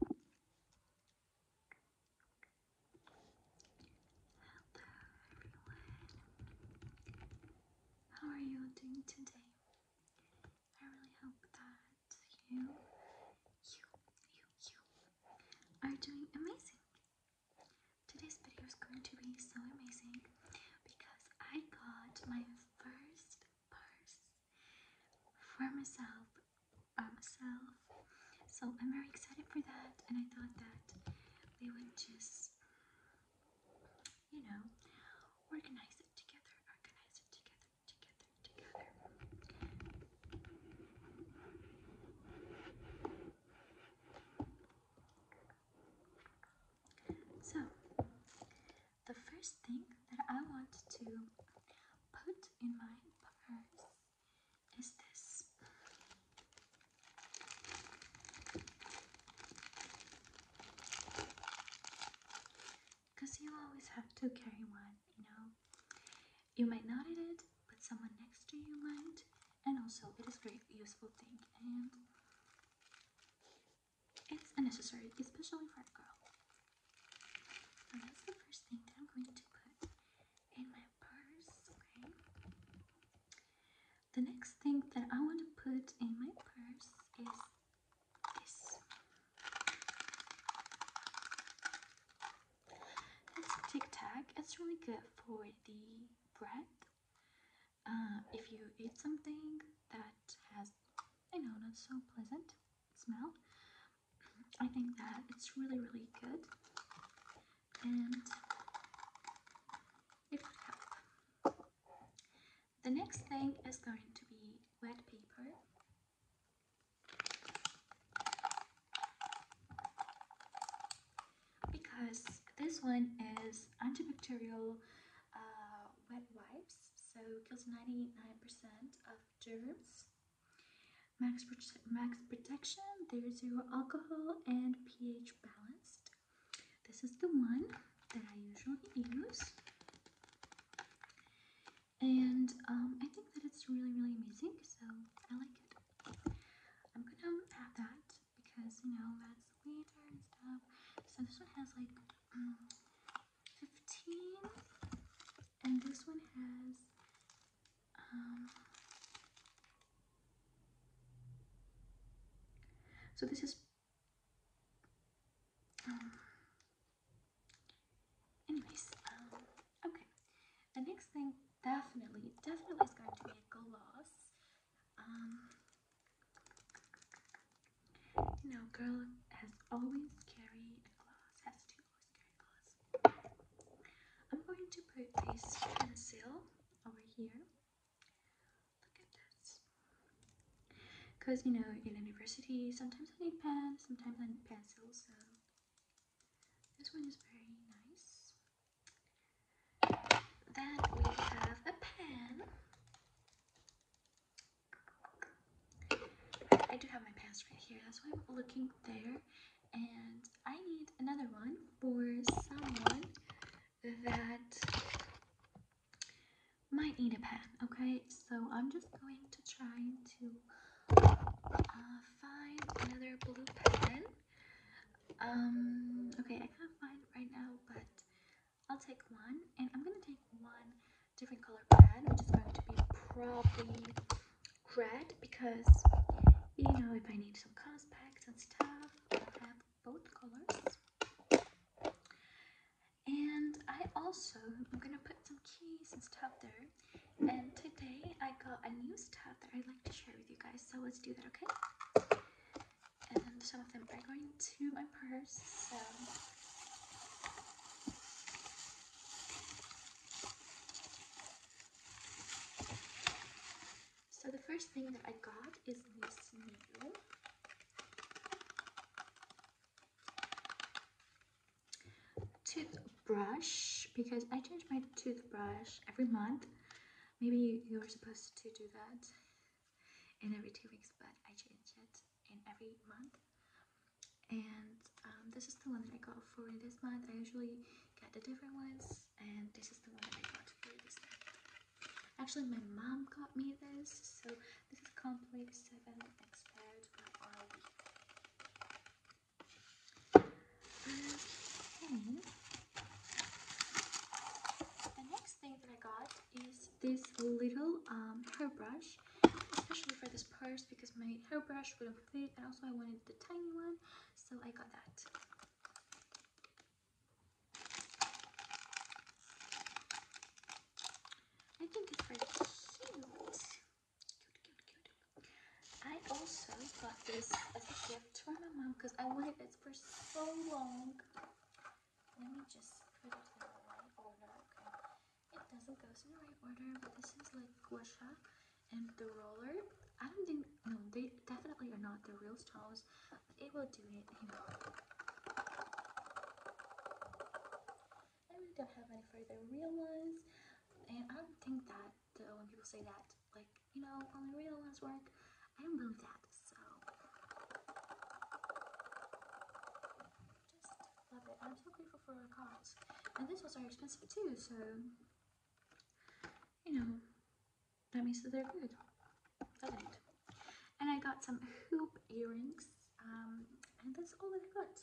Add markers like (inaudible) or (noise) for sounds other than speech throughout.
everyone. How are you doing today? I really hope that you, you, you, you are doing amazing. Today's video is going to be so amazing because I got my first purse for myself, myself. So I'm very excited for that, and I thought that we would just, you know, organize it together, organize it together, together, together. So, the first thing that I want to put in my purse is this. Because you always have to carry one, you know. You might not need it, but someone next to you might. And also, it is a great useful thing. And it is unnecessary, especially for a girl. that's the first thing that I'm going to put in my purse, okay? The next thing that I want to put in my purse is this. Tic Tac. It's really good for the breath. Uh, if you eat something that has I know that's so pleasant smell. I think that it's really, really good, and it will help. The next thing is going to be wet paper. Because this one is antibacterial uh, wet wipes so kills 99% of germs. Max, max protection, there's zero alcohol and pH balanced. This is the one that I usually use. And um, I think that it's really, really amazing. So I like it. I'm gonna have that because, you know, that's the winter and stuff. So this one has like 15 and this one has um, so this is um, anyways um, okay the next thing definitely definitely is going to be a gloss um, you know, girl has always carried a glass, has always carry a glass. I'm going to put this pencil over here. Look at this. Because, you know, in university, sometimes I need pens, sometimes I need pencils, so this one is very nice. Then we have a pen. I do have my pants right here, that's why I'm looking there. And I need another one for someone that might need a pen, okay? So I'm just going to try to uh, find another blue pen. Um, okay, I can't find right now, but I'll take one. And I'm going to take one different color pad, which is going to be probably red, because, you know, if I need some contacts and stuff, i have both colors. And I also, I'm going to put some keys and stuff there. And today I got a new stuff that I'd like to share with you guys, so let's do that, okay? and some of them are going to my purse, so So the first thing that I got is this needle. Toothbrush, because I change my toothbrush every month. Maybe you were supposed to do that in every two weeks, but I changed it in every month. And um, this is the one that I got for this month. I usually get the different ones, and this is the one that I got for this month. Actually, my mom got me this, so this is Complete 7 Expert the next thing that I got is this little um, hairbrush, especially for this purse because my hairbrush wouldn't fit and also I wanted the tiny one, so I got that. I think it's very cute. I also got this as a gift for my mom because I wanted it for so long. Let me just put it in the right order. It doesn't go in the right order, but this is like guasha and the roller. I don't think, no, they definitely are not the real stones. It will do it. I don't have any for the real ones. And I don't think that so when people say that, like, you know, only real ones work, I don't believe that, so. Just love it. I'm so grateful for our cards. And this was are expensive too, so, you know, that means that they're good, doesn't it? And I got some hoop earrings, um, and that's all I got.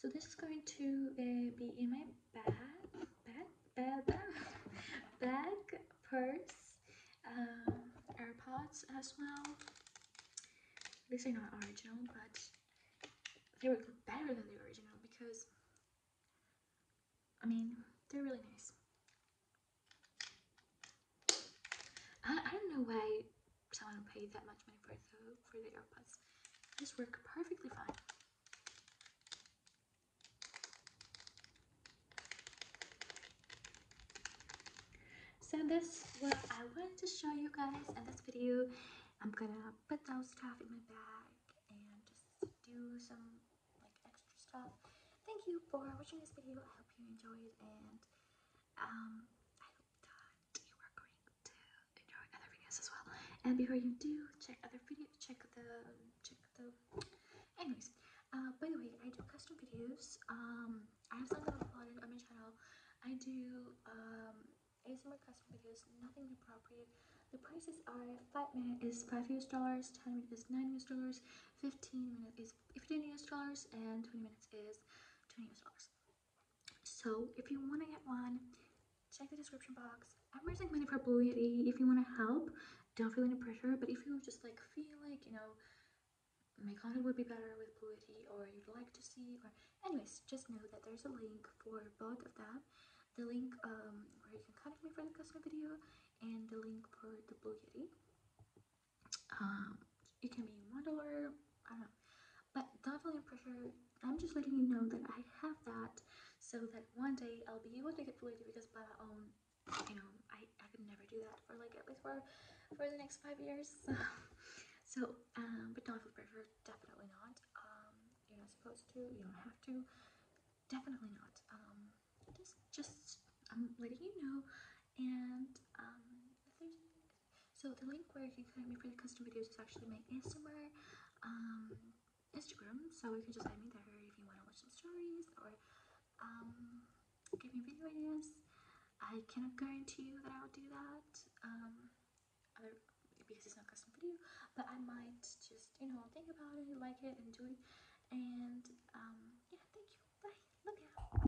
So this is going to uh, be in my bag, bag, bag, (laughs) bag, purse, um, AirPods as well. These are not original, but they were better than the original because, I mean, they're really nice. I, don't know why someone paid that much money for for the AirPods. These work perfectly fine. So that's what I wanted to show you guys in this video. I'm gonna put those stuff in my bag and just do some like extra stuff. Thank you for watching this video. I hope you enjoyed and um, I hope that you are going to enjoy other videos as well. And before you do, check other videos, check the, check the, anyways. Uh, by the way, I do custom videos. Um, I have some that i uploaded on my channel. I do um, ASMR custom videos, nothing inappropriate. The prices are 5 minute is 5 US dollars, 10 minutes is 9 US dollars, 15 minutes is 15 US dollars, and 20 minutes is 20 US dollars. So if you want to get one, check the description box. I'm raising money for Blue Yeti. If you want to help, don't feel any pressure. But if you just like feel like, you know, my content would be better with Blue Yeti or you'd like to see or anyways, just know that there's a link for both of that. The link um, where you can contact me for the custom video and the link for the Blue um, Yeti it can be modular, I don't know. But diaphragm pressure, I'm just letting you know that I have that so that one day I'll be able to get related because by my own, you know, I, I could never do that for like at least for, for the next five years. (laughs) So, um, but not diaphragm pressure, definitely not. Um, you're not supposed to, you don't have to. Definitely not. Um, just, just, I'm letting you know. And um, if there's so the link where you can find me for the custom videos is actually my ASMR um, Instagram. So you can just add me there if you want to watch some stories or um, give me video ideas. I cannot guarantee you that I'll do that um, because it's not custom video, but I might just, you know, think about it, like it, and do it. And yeah, thank you. Bye. Love you.